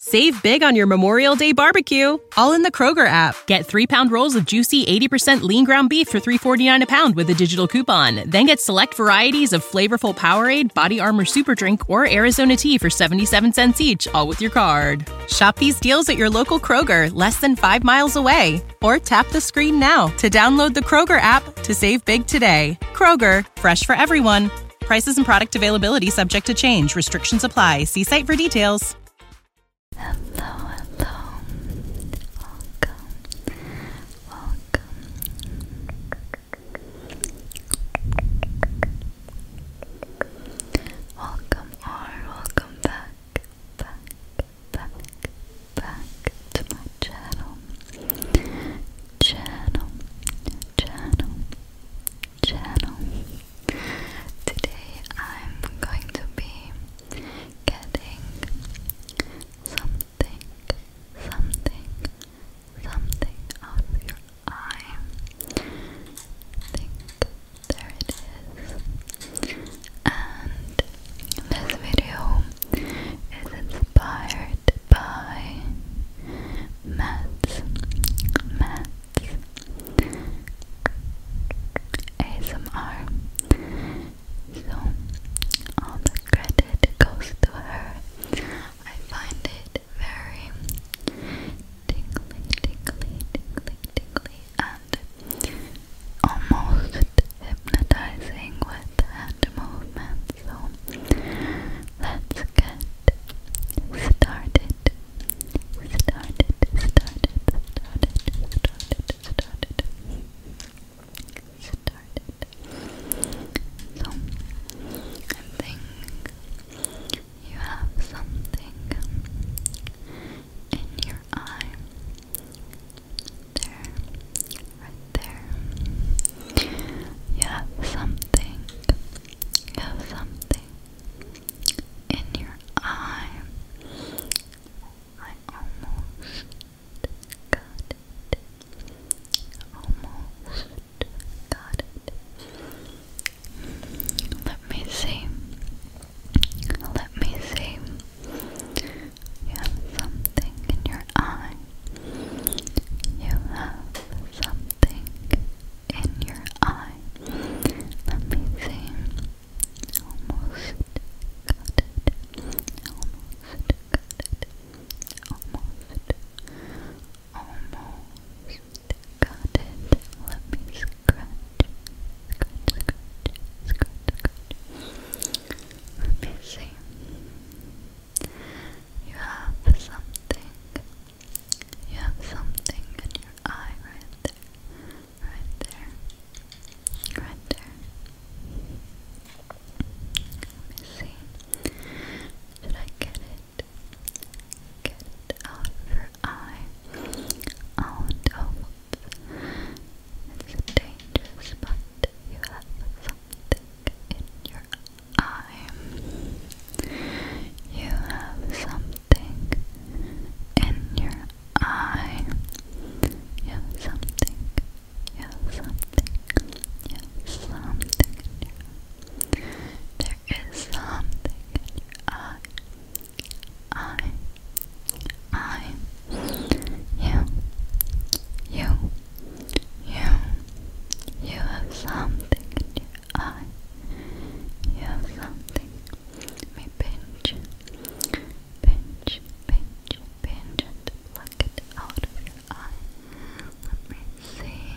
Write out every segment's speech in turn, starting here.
Save big on your Memorial Day barbecue, all in the Kroger app. Get three pound rolls of juicy 80% lean ground beef for 3.49 a pound with a digital coupon. Then get select varieties of flavorful Powerade, Body Armor Super Drink, or Arizona tea for 77 cents each, all with your card. Shop these deals at your local Kroger, less than five miles away. Or tap the screen now to download the Kroger app to save big today. Kroger, fresh for everyone. Prices and product availability subject to change. Restrictions apply. See site for details. Hello, hello. Welcome. Welcome. Welcome or welcome back, back, back, back to my channel. Channel, channel, channel. Today I'm going to be getting something, something, something out of your eye. there it is. And this video is inspired by Matt's, Matt's, ASMR. So, all the credit goes to her. I find it very tingly, tingly, tingly, tingly, and almost hypnotizing with hand movements. So, let's get started. Started, started, started, started, started. Started. So, I think you have something in your eye. There, right there. You have something have something in your eye. I almost got it. Almost got it. Let me see. Let me see. You have something in your eye. You have something something in your eye. Let Almost got it. Almost got it. Almost. Almost got it. Let me scratch. Scratch, scratch, scratch, scratch. Let me see. You have something you have something in your eye right there, right there, right there. Let me I get it? Get it out of your eye. Out oh, of it's dangerous, but you have something in your I. You have something in your eye. You have something. You have something. You have something There is something in I. I. You. You. You. You have something eye. You have something. Let me pinch, pinch, pinch, pinch, and pluck it out of your eye. Let me see.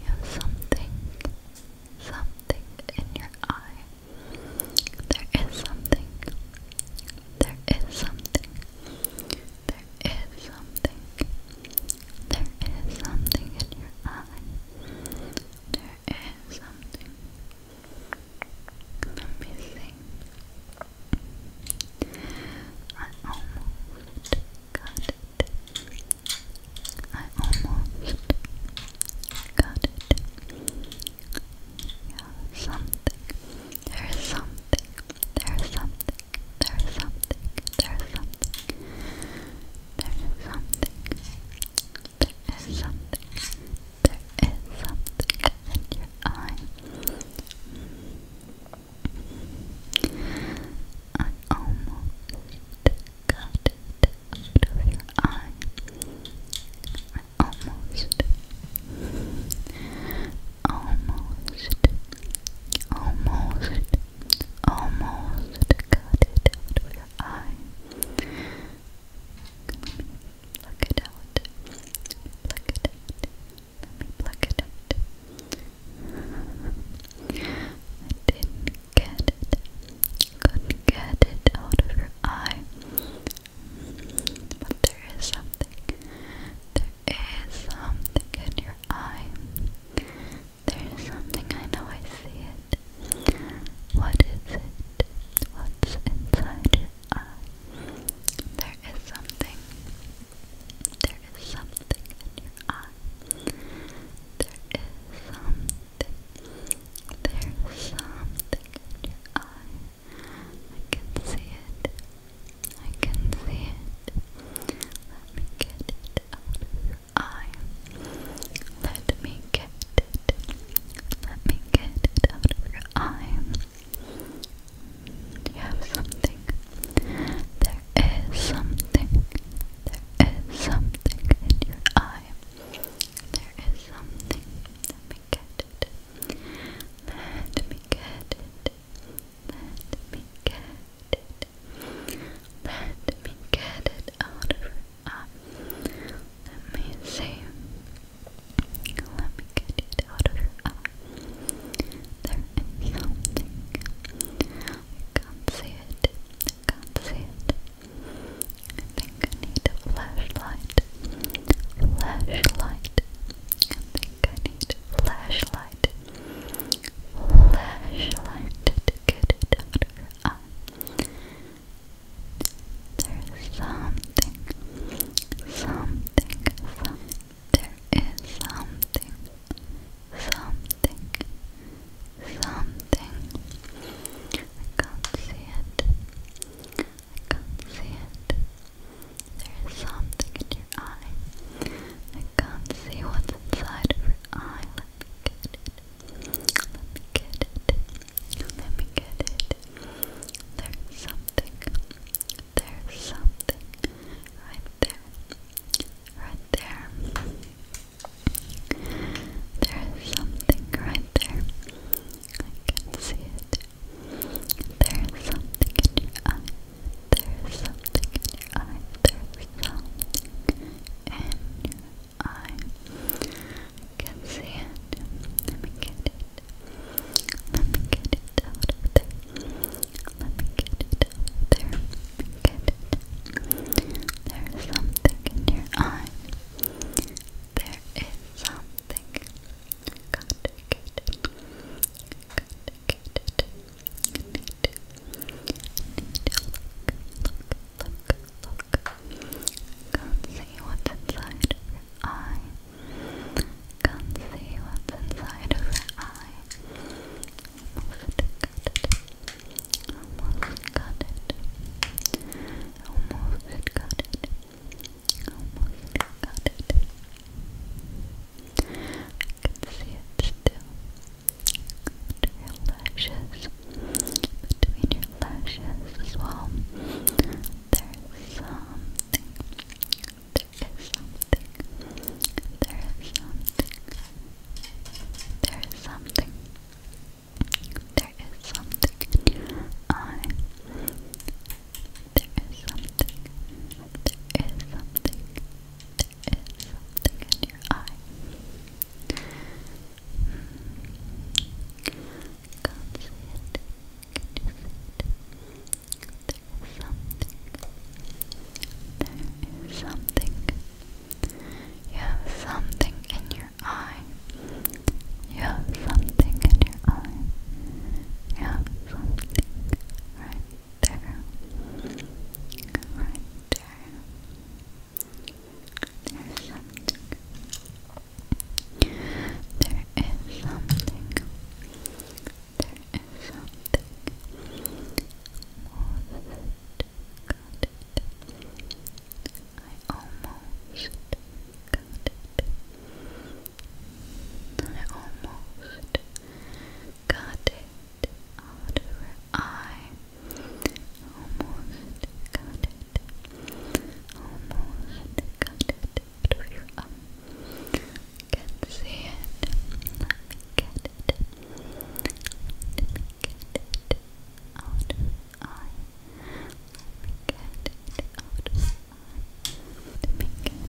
You have something, something in your eye. There is something. There is something. There is something. There is something in your eye. There is something. Let I almost got it. I almost got it. Yeah, something. There is something. There is something there's something, there's something, there's something, there is something, there is something in your eye. I almost got it out of your eye. I almost, almost, almost almost cut it out of your eye. Pluck it out. Pluck it out. Let me pluck it I didn't get it. Couldn't get it out of your eye. But there is something. There is something in your eye. There is something, I know I see it. What is it? What's inside your There is something. There is something in your eye. There is something. There is something in your eye. I can see it. I can see it. Let me get it eye. Let me get it. Let me get it out of your eye. you have something? There is something. There is something in your eye. There is something. Let me get it. Let me get it. Let me get it. Let me get it out of her eye. Let me see. Let me get it out of her eye. There is something. can't see it. can't see it. think I need flashlight. Flashlight. I think I need a flashlight. There's something, something, something. There is something, something, something. I can't see it. I can't see it. There is something in your eye. I can't see what inside of your Let me get it. Let me get it. Let me get it. There's something. There's something. Right there. Right there. There's something right there. I can see it. There's something there's something in your eye. There's something in your eye. I can see it. Let me get it. Let me get it out of there. Let me get it out of there. Get it. There's something in your eye. There is something. Got to good. You Can't see what's inside of eye. Can't see what's inside of eye. Almost got it. Almost got it. Almost got it. Almost got it. I can see it still your lashes, between your lashes as well. There's something, there is something, there is something, there is something, there is something, I, There is something. There is something there is something in your eye. you something. There is something. You have something in your eye. You have something in your eye. You have something there, right there. There's something. There is something. There is something. Almost got it. I almost got it. I almost got it out of her Almost got it. Almost got it out of your eye. see it. Let me get it. Let me get it out of eye. Let me get it out of eye. Let me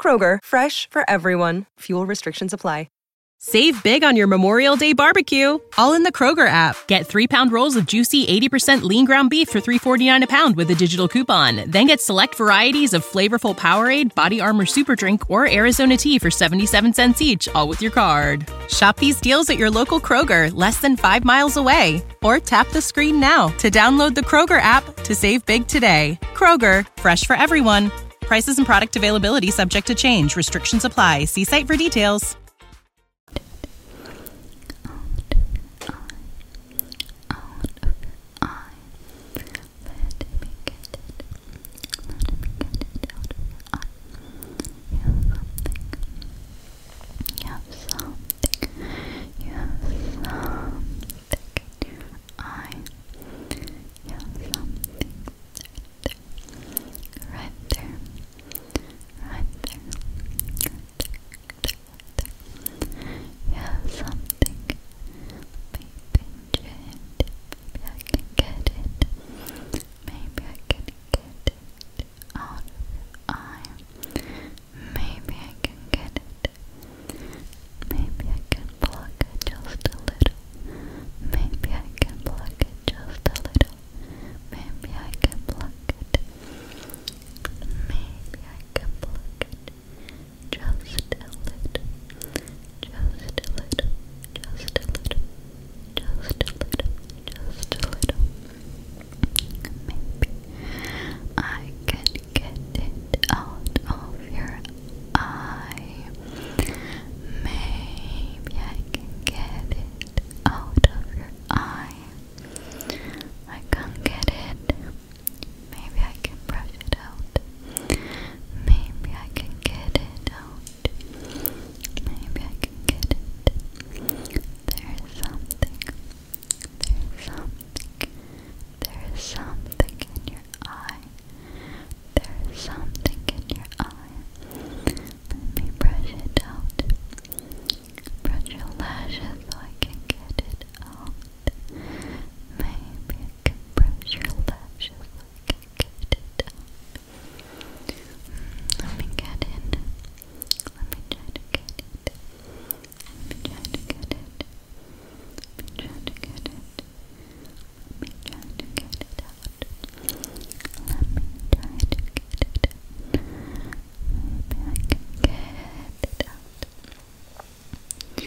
Kroger, fresh for everyone. Fuel restrictions apply. Save big on your Memorial Day barbecue, all in the Kroger app. Get three pound rolls of juicy 80% lean ground beef for 3.49 a pound with a digital coupon. Then get select varieties of flavorful Powerade, Body Armor Super Drink, or Arizona tea for 77 cents each, all with your card. Shop these deals at your local Kroger, less than five miles away. Or tap the screen now to download the Kroger app to save big today. Kroger, fresh for everyone. Prices and product availability subject to change. Restrictions apply. See site for details. Yeah, something right there. Right there. Yeah, something. Maybe I can get it. Maybe I can get it Maybe I can get it Maybe I can pluck it just a little. Maybe I can pluck it just a little. Maybe I can pluck it. Maybe I can pluck it. Just a little. Just a little. Just a little. Just a little. Just a little. Maybe I can get it out of your eye. Maybe I can get it out of your eye. I can't get it. Maybe I can brush it out. Maybe I can get it out. Maybe I can get it. There's something. There's something. There's something in your eye. There's something in your eye. Let brush it out. Brush your lashes so I can get it out. Maybe brush your lashes so I can get it out. Hmm, let me get it. Let me try to get it. Let me try to get it. Let me try to get it me try to get it out. Let me try to get it Maybe I can get it out. Let me see, maybe I can get it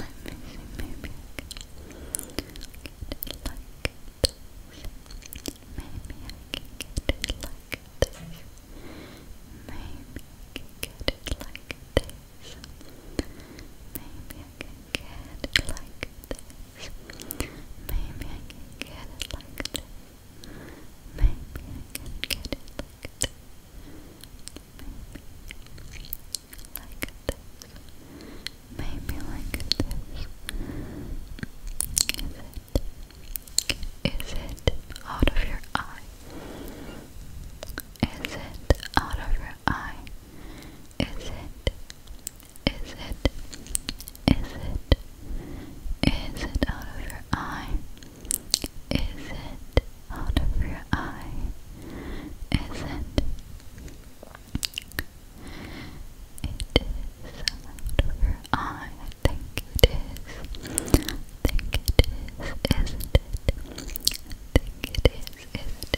like this. Maybe I can get it like this. Maybe I can get it like this. Maybe I can get it like this. Maybe I can get it like this. Maybe I can get it like this. Maybe like this. Is it? Is it out of your eye? Is it out of your I. Is it? Is it? Is it? Is it out of your eye? Is it out of your eye? Is it? It is out of your eye. I think it is. think it is. Isn't it? think it is. Isn't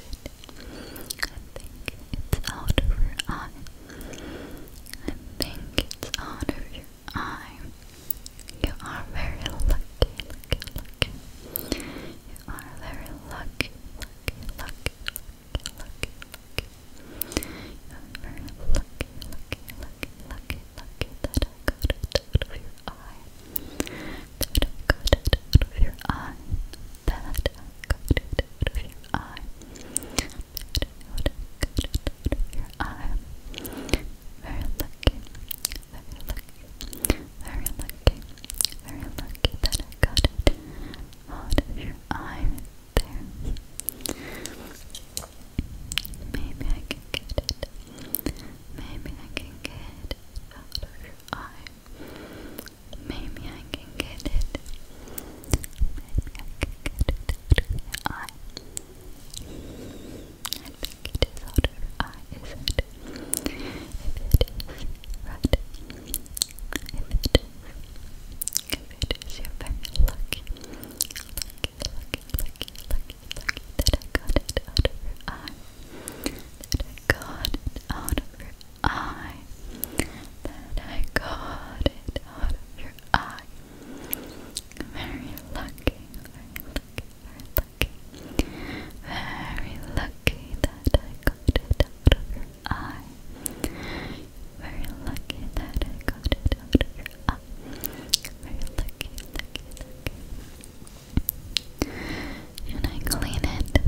it. I think it's out of your eye. I think it's out of your eye. You are very lucky, You are very lucky. You are very lucky, lucky, lucky, lucky, lucky that I got it out of your eye. That I got it out of your eye. That I got it out of your eye. That I got it out of your eye. Very lucky, very lucky, very lucky, very lucky that I got it out of your eye there. Maybe I can get it. Maybe I can get it out of your eye. Maybe I can get it. Maybe I can get it out of eye. I it is out of eye, If it is, right. If it is, if it is, you're very lucky. Lucky, lucky, lucky, lucky, lucky that I got it out of eye that I got it out of your eye, that I got it out of your eye. Very lucky, very lucky, very lucky, very lucky that I got it out of your eye. Very lucky that I got it out of your eye. Very lucky, lucky, lucky. Should I clean it?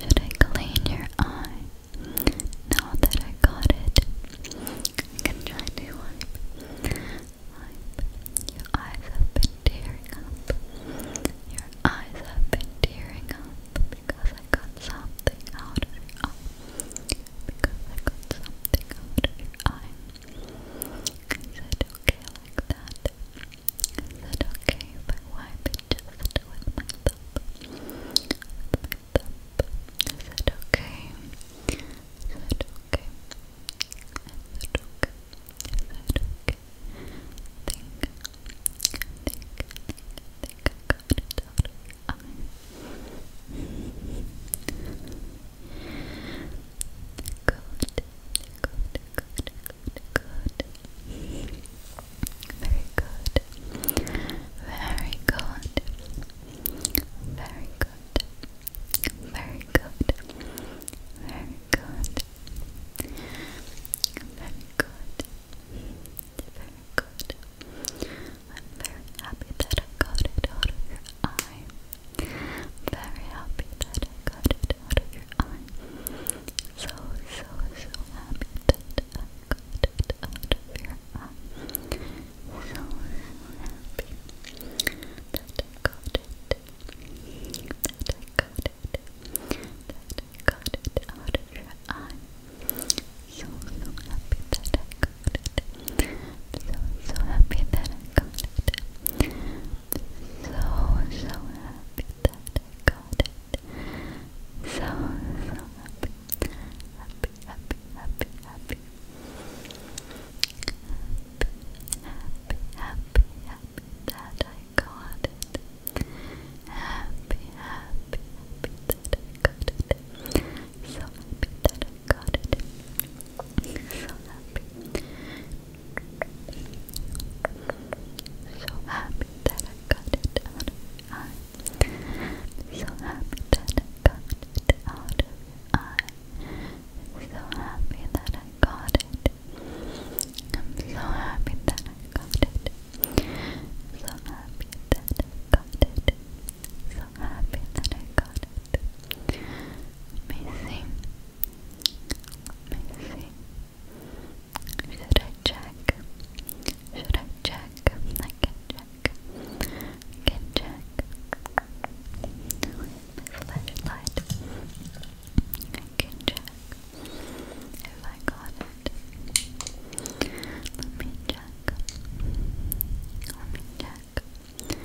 Should I clean your eye? Now that I got it, I can try to wipe. Wipe. Your eyes have been tearing up. Your eyes have been tearing up because I got something out of your Because I got something out of your eye. I said okay like that. I said, okay, if I wipe it just with my thumb, with my thumb. I said, okay. I said, okay. I said, okay. I said, okay. I think, I think, I think I got it out of your eye. Good, good, good, good, Very good. Very good. Very good. Very good. Very good. Very good. very happy that I got it out of your eye very happy that I got it out of your eye. So, so, so happy that I got it out of your eye. So, happy that I got it. That I got it. That I got it out of your eye. So, so happy that I got it. So, so happy that I got it so, so happy that I got it. So, so happy. Happy, happy, happy, happy. Happy, happy, happy that I got it. Happy, happy, happy that I got it. So happy that I got it. So happy so happy that I got it out of your So happy that I got it out of your So happy that I got it. I'm so happy that I got it. So happy that I got it. So happy that I got it. Amazing. Let me see. Should I check? Should I check? can check. can check. flashlight. can check if I got it. Let me check. Let me check. I think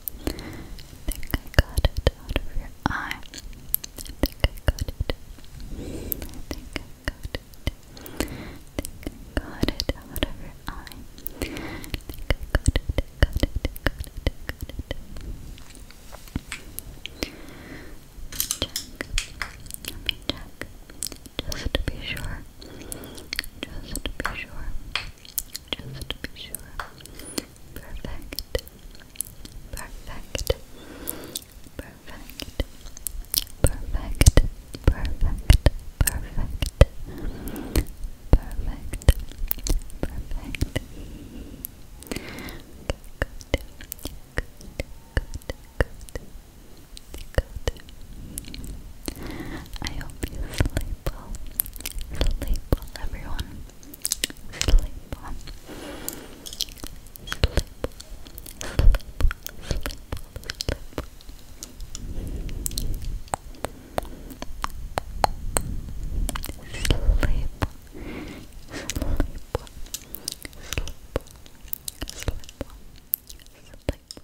I think I got it out of your eye. think I got it. think I got it. think I got it out of your eye. I think I got it. Got it. Got it. Got it. Check. Let me check. Just to be sure. Just to be sure. Just to be sure. Perfect. Perfect. Perfect. Perfect. Perfect. Perfect. Perfect. Perfect. Okay, good. Good. Good. Good. Good. I hope you sleep well. Sleep well, everyone. Sleep well. Sleep Sleep Sleep Sleep Sleep Sleep Sleep